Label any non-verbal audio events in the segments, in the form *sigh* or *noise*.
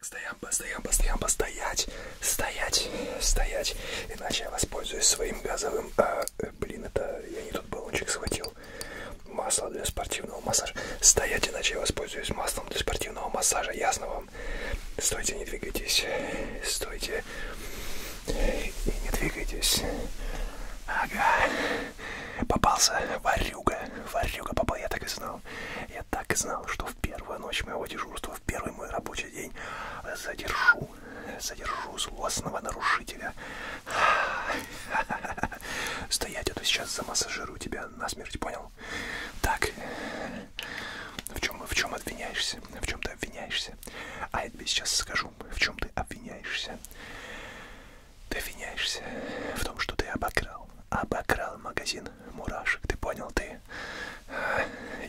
Стоям, постоям, постоям, постоять, стоять, стоять, иначе я воспользуюсь своим газовым, а, э, блин, это я не тот баллончик схватил, масло для спортивного массажа, стоять, иначе я воспользуюсь маслом для спортивного массажа, ясно вам? Стойте, не двигайтесь, стойте, и не двигайтесь. Ага. Попался варюга. Варюга попал, я так и знал. Я так и знал, что в первую ночь моего дежурства, в первый мой рабочий день задержу, задержу злостного нарушителя. Стоять, а то сейчас замассажирую тебя насмерть, понял? Так, в чем, в чем обвиняешься? В чем ты обвиняешься? А я тебе сейчас скажу чем? В чем ты обвиняешься? Ты обвиняешься в том, что ты обокрал. Обокрал магазин мурашек. Ты понял, ты...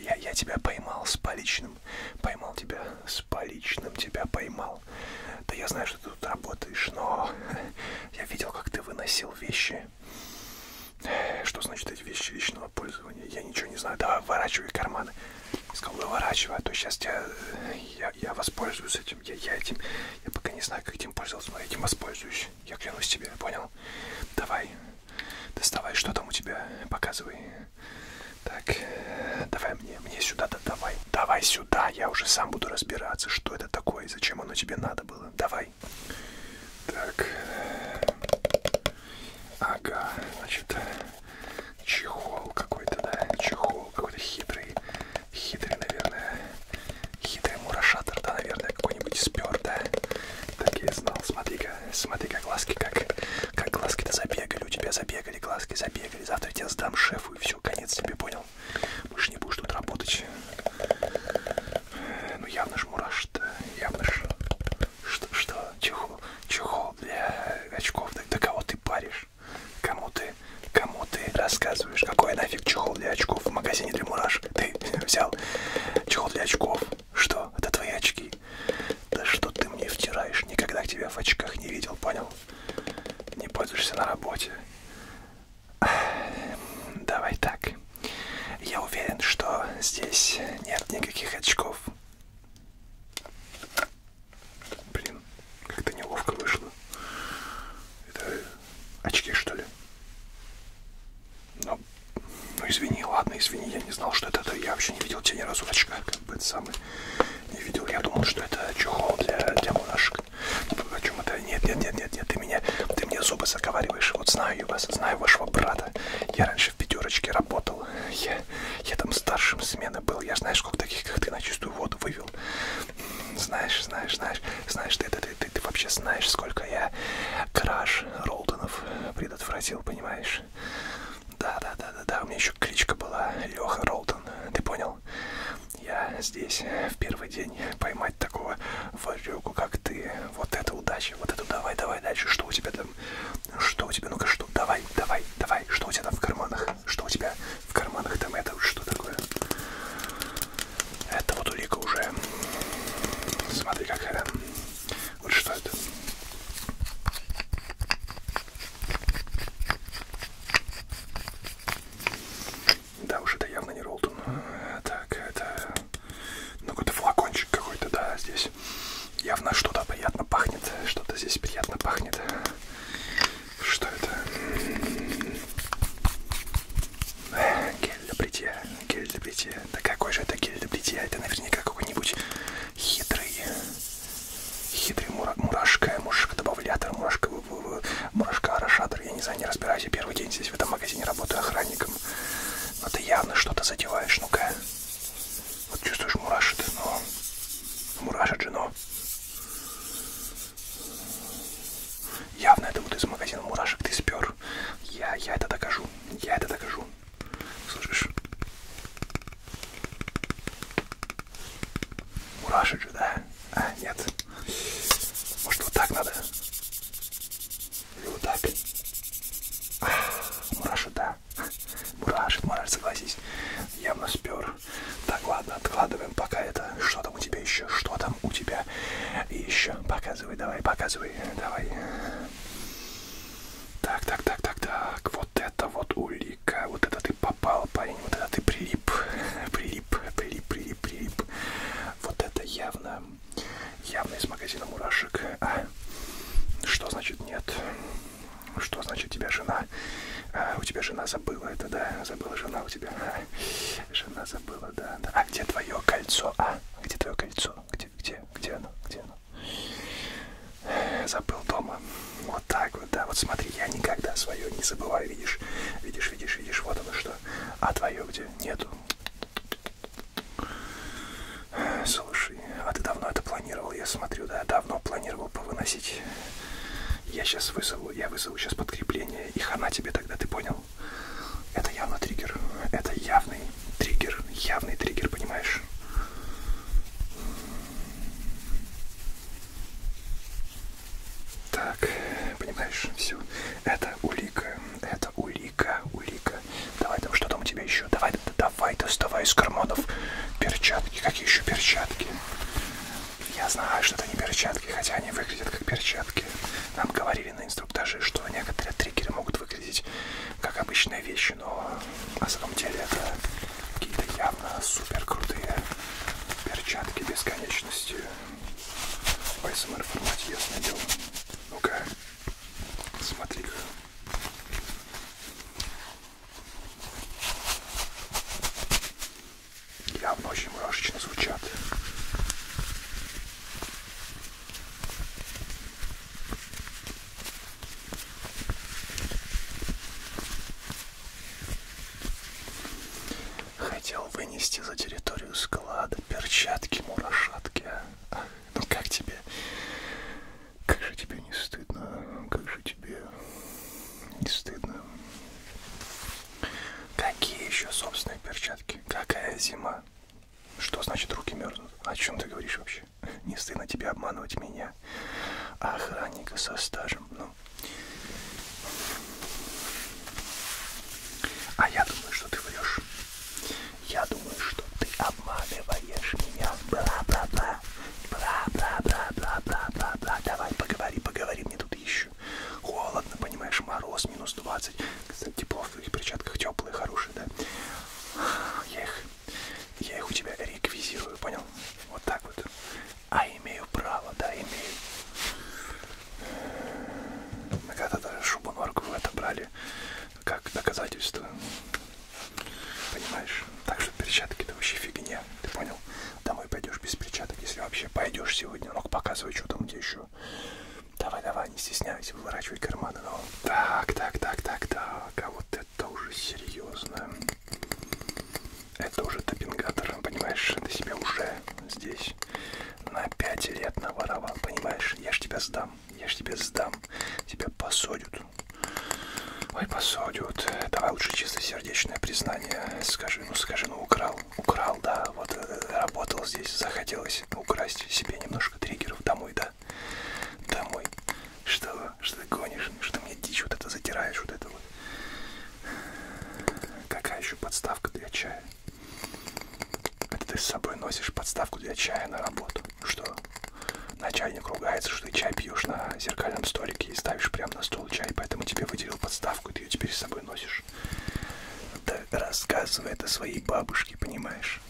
Я, я тебя поймал с поличным. Поймал тебя с поличным. Тебя поймал. Да я знаю, что ты тут работаешь, но... Я видел, как ты выносил вещи. Что значит эти вещи личного пользования? Я ничего не знаю. Давай, ворачивай карманы сказал, «Ну, выворачивай, а то сейчас я, я, я воспользуюсь этим, я, я этим, я пока не знаю, как этим пользоваться, но я этим воспользуюсь, я клянусь тебе, понял? Давай, доставай, что там у тебя, показывай. Так, давай мне, мне сюда, да, давай, давай сюда, я уже сам буду разбираться, что это такое, зачем оно тебе надо было, давай. Так, Ага, значит, э, чехол какой-то, да, чехол какой-то хитрый, хитрый, наверное, хитрый мурашатор, да, наверное, какой-нибудь спер, да. Так я и знал, смотри-ка, смотри-ка, глазки как, как глазки-то забегали, у тебя забегали, глазки забегали, завтра я тебя сдам шефу и все, конец тебе, понял? Больше не будешь тут работать. Ну явно ж мураш-то, явно ж что, что? Чехол? Чехол для э, очков? Да, да кого ты паришь? Кому ты, кому ты рассказываешь? Какой нафиг чехол для очков в магазине для мурашек? Ты *laughs* взял чехол для очков? Что? Это твои очки? Да что ты мне втираешь? Никогда тебя в очках не видел, понял? Не пользуешься на работе. *sighs* Давай так. Я уверен, что здесь нет никаких очков. Блин, как-то неловко вышло. Это очки, что ли? Ну, ну извини, ладно, извини, я не знал, что это, это я вообще не видел тебя ни разу в очках, как бы это самый не видел. Я думал, что это чехол для, для монашек. Ну, о чем это? Нет, нет, нет, нет, нет, ты меня, ты мне зубы заговариваешь. Вот знаю я вас, знаю вашего брата. Я раньше в пятерочке работал. Я я там старшим смены был. Я знаешь, сколько таких, как ты, на чистую воду вывел. Знаешь, знаешь, знаешь, знаешь, ты, ты, ты, ты, ты вообще знаешь, сколько я краж Ролтонов предотвратил, понимаешь? Да, да, да, да, да. У меня еще кличка была Леха Ролтон. Ты понял? Я здесь в первый день поймать такого варюгу, как ты. Вот это удача, вот это давай, давай дальше. Что у тебя там что у тебя? Ну-ка, что? Давай, давай, давай. Что у тебя там в карманах? Что у тебя в карманах там? Это что такое? Это вот улика уже. Смотри, какая. Вот что это? Да, уж это явно не Ролтон. Так, это... Ну, какой-то флакончик какой-то, да, здесь здесь явно что-то приятно пахнет. Что-то здесь приятно пахнет. Что это? Э, гель для бритья. Гель для бритья. Да какой же это гель для бритья? Это наверняка какой-нибудь хитрый. Хитрый мура мурашка, мурашка-добавлятор, мурашка-орошатор. Я не знаю, не разбираюсь. Я первый день здесь в этом магазине работаю охранником. Но ты явно что-то задеваешь. Ну-ка. Вот чувствуешь, мурашит, но... Мурашит же, но... Явно это вот из магазина мурашек ты спер. Я, я это докажу. Я это докажу. Слышишь? Мурашек же, да? А, нет. Может, вот так надо? Или вот так? А, мурашек, да да. Мурашит мораль, согласись. Явно спер. Так, ладно, откладываем пока это. Что там у тебя еще? Что там у тебя еще? Показывай, давай, показывай, давай. Так, так, так, так, так. Вот это вот улика. Вот это ты попал, парень. Вот это ты прилип. Прилип, прилип, прилип, прилип. Вот это явно, явно из магазина мурашек. А, далее. Что значит нет? Что значит тебя жена? А, у тебя жена забыла это, да? Забыла жена у тебя. А, жена забыла, да, да. А где твое кольцо? А, где твое кольцо? Где, где, где оно? Где оно? Забыл дома. Вот так вот, да. Вот смотри, я никогда свое не забываю, видишь? Видишь, видишь, видишь, вот оно что. А твое где? Нету. Слушай, а ты давно это планировал? Я смотрю, да, давно планировал повыносить. Я сейчас вызову, я вызову сейчас подкрепление, и хана тебе тогда, ты понял? Это явно триггер, это явный триггер, явный триггер, понимаешь? Так, понимаешь, все. Это улика, это улика, улика. Давай там, что там у тебя еще? Давай, давай, доставай из карманов перчатки. Какие еще перчатки? Я знаю, что это не перчатки, хотя они выглядят как перчатки. Нам говорили на инструктаже, что некоторые триггеры могут выглядеть как обычные вещи, но на самом деле это какие-то явно супер крутые перчатки бесконечности. В ASMR формате я надел. Ну-ка, смотри-ка. Явно очень мурашечно звучат. Хотел вынести за территорию склада перчатки-мурашатки. Ах. Ну как тебе? Как же тебе не стыдно? Как же тебе не стыдно? Какие еще собственные перчатки? Какая зима? Что значит руки мерзнут? О чем ты говоришь вообще? Не стыдно тебе обманывать меня, охранника со стажем. Ну. А я думаю, что ты врешь. Я думаю, что ты обманываешь меня. Бла-бла-бла. Бла-бла-бла-бла-бла-бла. Давай, поговори, поговори. Мне тут еще холодно, понимаешь, мороз, минус 20. Кстати, тепло в твоих перчатках, теплые, хорошие, да? Я их, я их у тебя реквизирую, понял? Вот так вот. А имею право, да, имею. Мы когда-то шубу норку в это брали как доказательство. Понимаешь? Так что перчатки это вообще фигня. Ты понял? Домой пойдешь без перчаток, если вообще пойдешь сегодня. Ну-ка показывай, что там где еще. Давай, давай, не стесняйся, выворачивай карманы. Ну. Так, так, так, так, так. А вот это уже серьезно. Это уже топингатор, понимаешь? Ты себя уже здесь на 5 лет наворовал, понимаешь? Я ж тебя сдам сдам. Я ж тебе сдам. Тебя посадят. Ой, посадят. Давай лучше чистосердечное признание. Скажи, ну скажи, ну украл. Украл, да. Вот э, работал здесь, захотелось украсть себе немножко триггеров домой, да? Домой. Что, что ты гонишь? Что ты мне дичь вот это затираешь, вот это вот. Какая еще подставка для чая? Это ты с собой носишь подставку для чая на работу. Что? Начальник ругается, что ты чай пьешь на зеркальном столике и ставишь прямо на стол чай, поэтому тебе выделил подставку, и ты ее теперь с собой носишь. Да рассказывай это своей бабушке, понимаешь?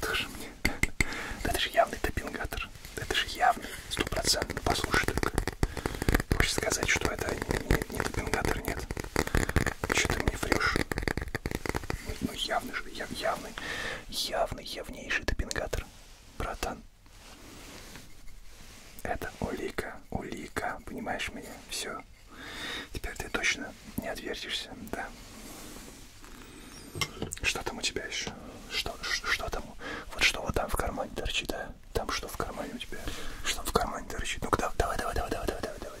Тоже мне. Да это же явный топингатор. Да это же явный, стопроцентно. Послушай только. Хочешь сказать, что это не, не, не топингатор? Александр, нет. Че ты мне врешь? Ну явный же, яв, явный, явный, явнейший допингатор, братан. Это улика, улика, понимаешь меня? Все. Теперь ты точно не отвертишься, да. Что там у тебя еще? Что, что, что там? Вот что вот там в кармане торчит, а? Там что в кармане у тебя? Что в кармане торчит? Ну-ка, давай, давай, давай, давай, давай, давай давай, давай.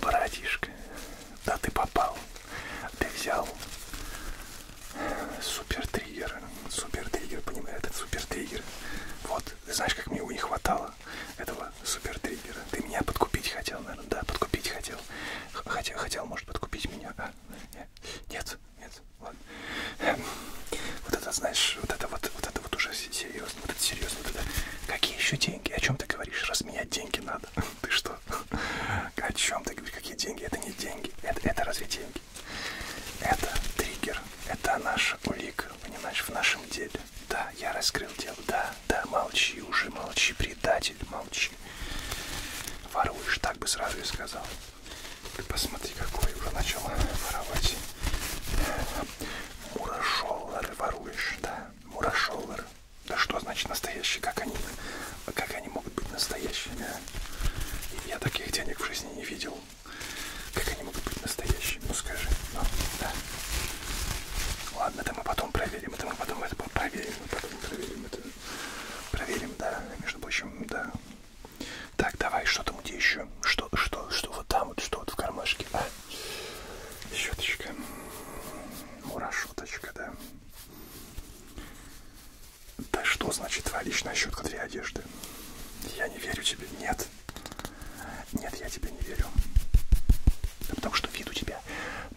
Братишка, да ты попал. Ты взял супер триггер. Супер триггер, понимаешь, этот супер триггер. Вот, знаешь, как мне его не хватало, этого супер триггера. Ты меня подкупить хотел, наверное, да, подкупить хотел. Хотел, хотел, может, подкупить меня, а? Нет. Нет, ладно. Эм, вот это, знаешь, вот это вот, вот это вот уже серьезно, вот это серьезно, вот это. Какие еще деньги? О чем ты говоришь? Разменять деньги надо. *laughs* Ты что? О чем ты говоришь? Какие деньги? Это не деньги. Это, это разве деньги? Это триггер. Это наша улика, понимаешь, в нашем деле. Да, я раскрыл дело. Да, да, молчи уже, молчи, предатель, молчи. Воруешь, так бы сразу и сказал. Ты посмотри, какой уже начал воровать. Мурашоллары воруешь, да? Мурашоллары. Да что значит настоящие? Как они, как они могут быть настоящими? А? Я таких денег в жизни не видел. Как они могут быть настоящими? Ну скажи. Ну, да. Ладно, это мы потом проверим. Это мы потом это проверим. Мы потом проверим это. Проверим, да. Между прочим, да. Так, давай, что там где еще? Что, что, что вот там вот, что вот в кармашке? А? Щеточка. Мурашуточка, да. Да что значит твоя личная щетка для одежды? Я не верю тебе. Нет. Нет, я тебе не верю. Да потому что вид у тебя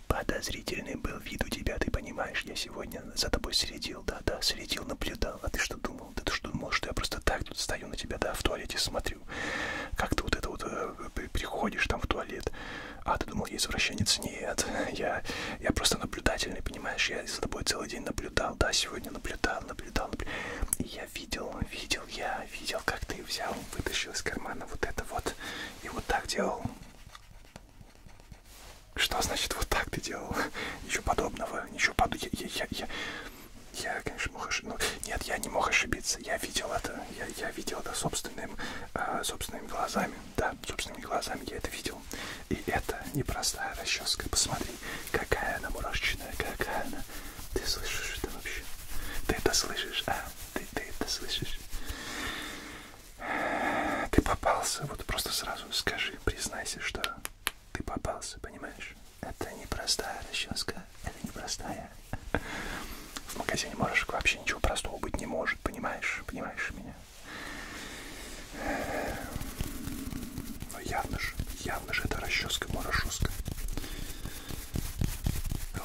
подозрительный был, вид у тебя, ты понимаешь, я сегодня за тобой следил следил, да, да, следил, наблюдал. А ты что думал? Да ты что думал, что я просто так тут стою на тебя, да, в туалете смотрю. Как ты вот это вот э, приходишь там в туалет. А ты думал, я извращенец? Нет, *laughs* я, я просто наблюдательный, понимаешь? Я за тобой целый день наблюдал, да, сегодня наблюдал, наблюдал, наблюдал. И я видел, видел, я видел, как ты взял, вытащил из кармана вот это вот. И вот так делал. Что значит вот так ты делал? *laughs* Ничего подобного, ничего подобного. Я, я, я, я, я, конечно, мог ошибиться. Ну, нет, я не мог ошибиться. Я видел это. Я, я видел это собственным, э, собственными глазами. Да, собственными глазами я это видел. И это непростая расческа. Посмотри, какая она мурашечная, какая она. Ты слышишь это вообще? Ты это слышишь, а? Ты, ты это слышишь? Ты попался, вот просто сразу скажи, признайся, что ты попался, понимаешь? Это непростая расческа, это непростая. В магазине можешь вообще ничего простого быть не может, понимаешь? Понимаешь меня? Но ну, явно же, явно же это расческа, морошоска.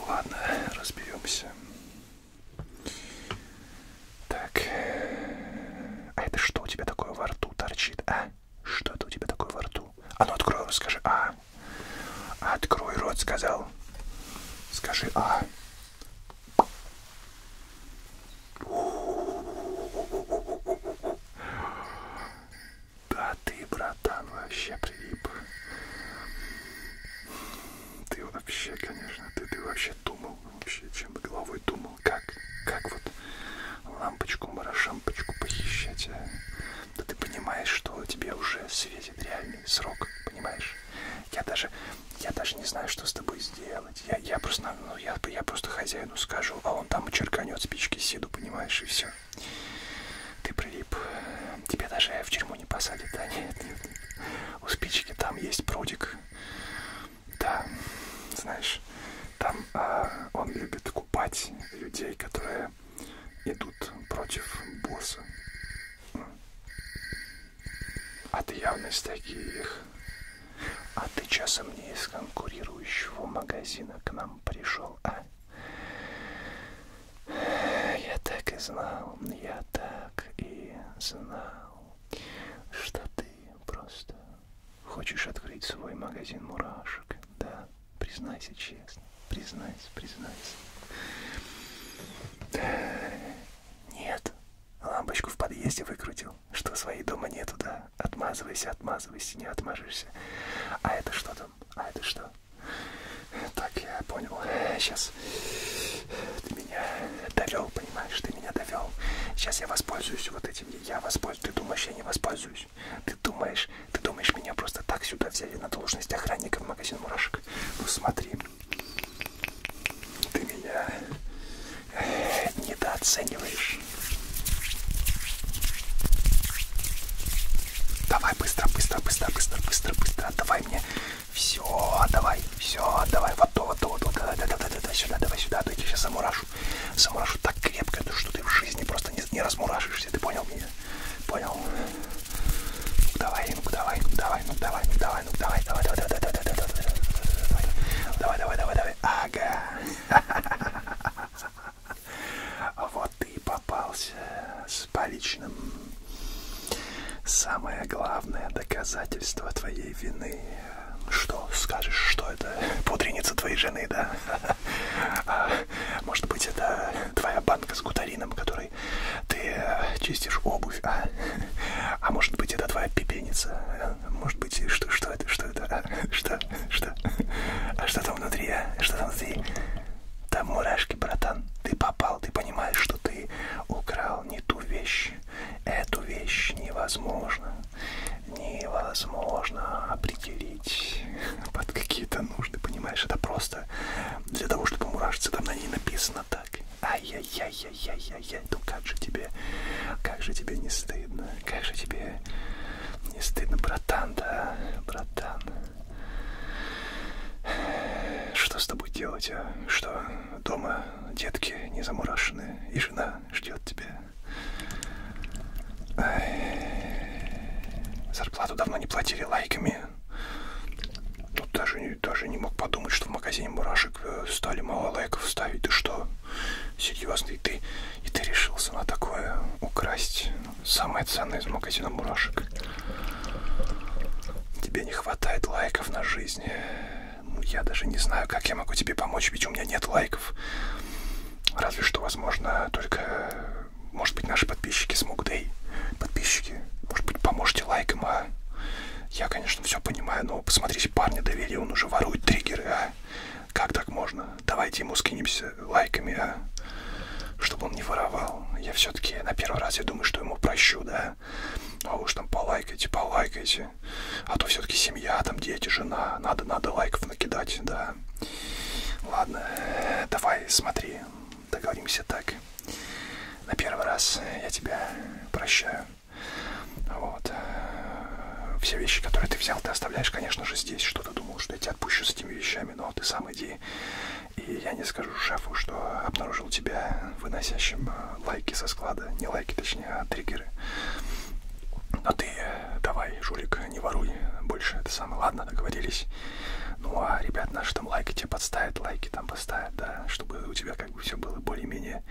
Ладно, разберемся. Так. А это что у тебя такое во рту торчит, а? Что это у тебя такое во рту? А ну открой, скажи, а. Открой рот, сказал. Скажи, а. Да ты, братан, вообще прилип. Ты вообще, конечно, ты, ты вообще думал, вообще, чем головой думал думал, как, как вот лампочку, марашампочку похищать. А? Да ты понимаешь, что тебе уже светит реальный срок, понимаешь? Я даже, я даже не знаю, что с тобой сделать. Я, я просто, ну, ну я, я просто хозяину скажу, а он там и черканет спички сиду, понимаешь, и все. Ты прилип. Тебя даже в тюрьму не посадят, да нет, нет. У спички там есть прудик. Да, знаешь, там а, он любит купать людей, которые идут против босса. А ты явно из таких. А ты часом не из конкурирующего магазина к нам пришел, а? Я так и знал, я так и знал, что ты просто хочешь открыть свой магазин мурашек, да? Признайся честно, признайся, признайся. Нет, лампочку в подъезде выкрутил, что своей дома нету, да? Отмазывайся, отмазывайся, не отмажешься. А это что там? А это что? Так, я понял. Сейчас сейчас ты меня довел, понимаешь, ты меня довел. Сейчас я воспользуюсь вот этим, я воспользуюсь, ты думаешь, я не воспользуюсь. Ты думаешь, ты думаешь, меня просто так сюда взяли на должность охранника в магазин мурашек. Ну смотри, ты меня недооцениваешь. Давай быстро, быстро, быстро, быстро, быстро, быстро. Давай мне все, давай, все, давай, вот то, вот то, вот то, да, да, да, да, да, сюда, давай сюда, а то я тебя сейчас замурашу. Замурашу так крепко, что ты в жизни просто не, не размурашишься, ты понял меня? Понял? Ну давай, ну давай, ну давай, ну давай, ну давай, ну давай, давай, давай, давай, давай, давай, давай, давай, давай, давай, давай, давай, ага. Вот ты попался с поличным. Самое главное доказательство твоей вины. Что скажешь, что это пудреница твоей жены, да? А, может быть, это твоя банка с гутарином, которой ты э, чистишь обувь, а? А может быть, это твоя пепеница? Может быть, что, что это, что это? А, что, что? А что там внутри, а? Что там внутри? Там мурашки, братан. Ты попал, ты понимаешь, что ты украл не ту вещь. Эту вещь невозможно, невозможно определить *laughs* под какие-то нужды, понимаешь? Это просто для того, чтобы мурашиться, там на ней написано так. Ай-яй-яй-яй-яй-яй, ну как же тебе, как же тебе не стыдно, как же тебе не стыдно, братан, да, братан. Что с тобой делать, а? Что, дома детки не замурашены, и жена ждет тебя. Зарплату давно не платили лайками. Ну, даже, даже не мог подумать, что в магазине мурашек э, стали мало лайков ставить. Ты что? Серьезно? И ты, и ты решился на такое украсть самое ценное из магазина мурашек? Тебе не хватает лайков на жизнь я даже не знаю, как я могу тебе помочь, ведь у меня нет лайков. Разве что, возможно, только, может быть, наши подписчики смогут, эй, подписчики, может быть, поможете лайком, а? Я, конечно, все понимаю, но посмотрите, парня доверие, он уже ворует триггеры, а? Как так можно? Давайте ему скинемся лайками, а? Чтобы он не воровал. Я все-таки на первый раз, я думаю, что ему прощу, да? да, а уж там полайкайте, полайкайте, а то все-таки семья, там дети, жена, надо, надо лайков накидать, да. Ладно, давай, смотри, договоримся так. На первый раз я тебя прощаю. Вот. Все вещи, которые ты взял, ты оставляешь, конечно же, здесь. Что ты думал, что я тебя отпущу с этими вещами, но ты сам иди. И я не скажу скажу шефу, что обнаружил тебя выносящим э, лайки со склада. Не лайки, точнее, а триггеры. Но а ты э, давай, Жулик, не воруй больше. Это самое. Ладно, договорились. Ну, а ребят наши там лайки тебе подставят, лайки там поставят, да, чтобы у тебя как бы все было более-менее.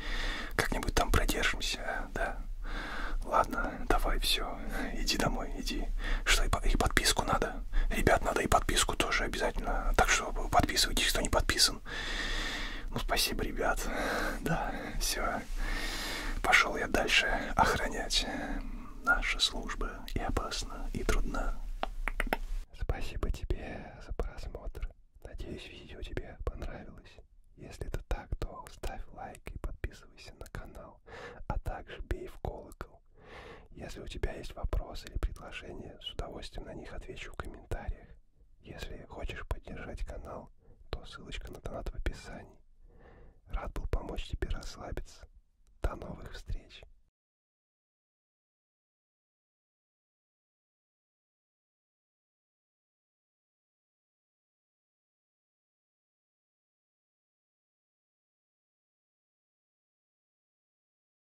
Как-нибудь там продержимся, да. Ладно, давай, все, иди домой, иди. Что, и подписку надо? Ребят, надо и подписку тоже обязательно. Так что подписывайтесь, кто не подписан. Джексон. Ну, спасибо, ребят. Да, все. Пошел я дальше охранять. Наша служба и опасна, и трудна. Спасибо тебе за просмотр. Надеюсь, видео тебе понравилось. Если это так, то ставь лайк и подписывайся на канал, а также бей в колокол. Если у тебя есть вопросы или предложения, с удовольствием на них отвечу в комментариях. Если хочешь поддержать канал, то ссылочка на донат в описании. Рад был помочь тебе расслабиться. До новых встреч!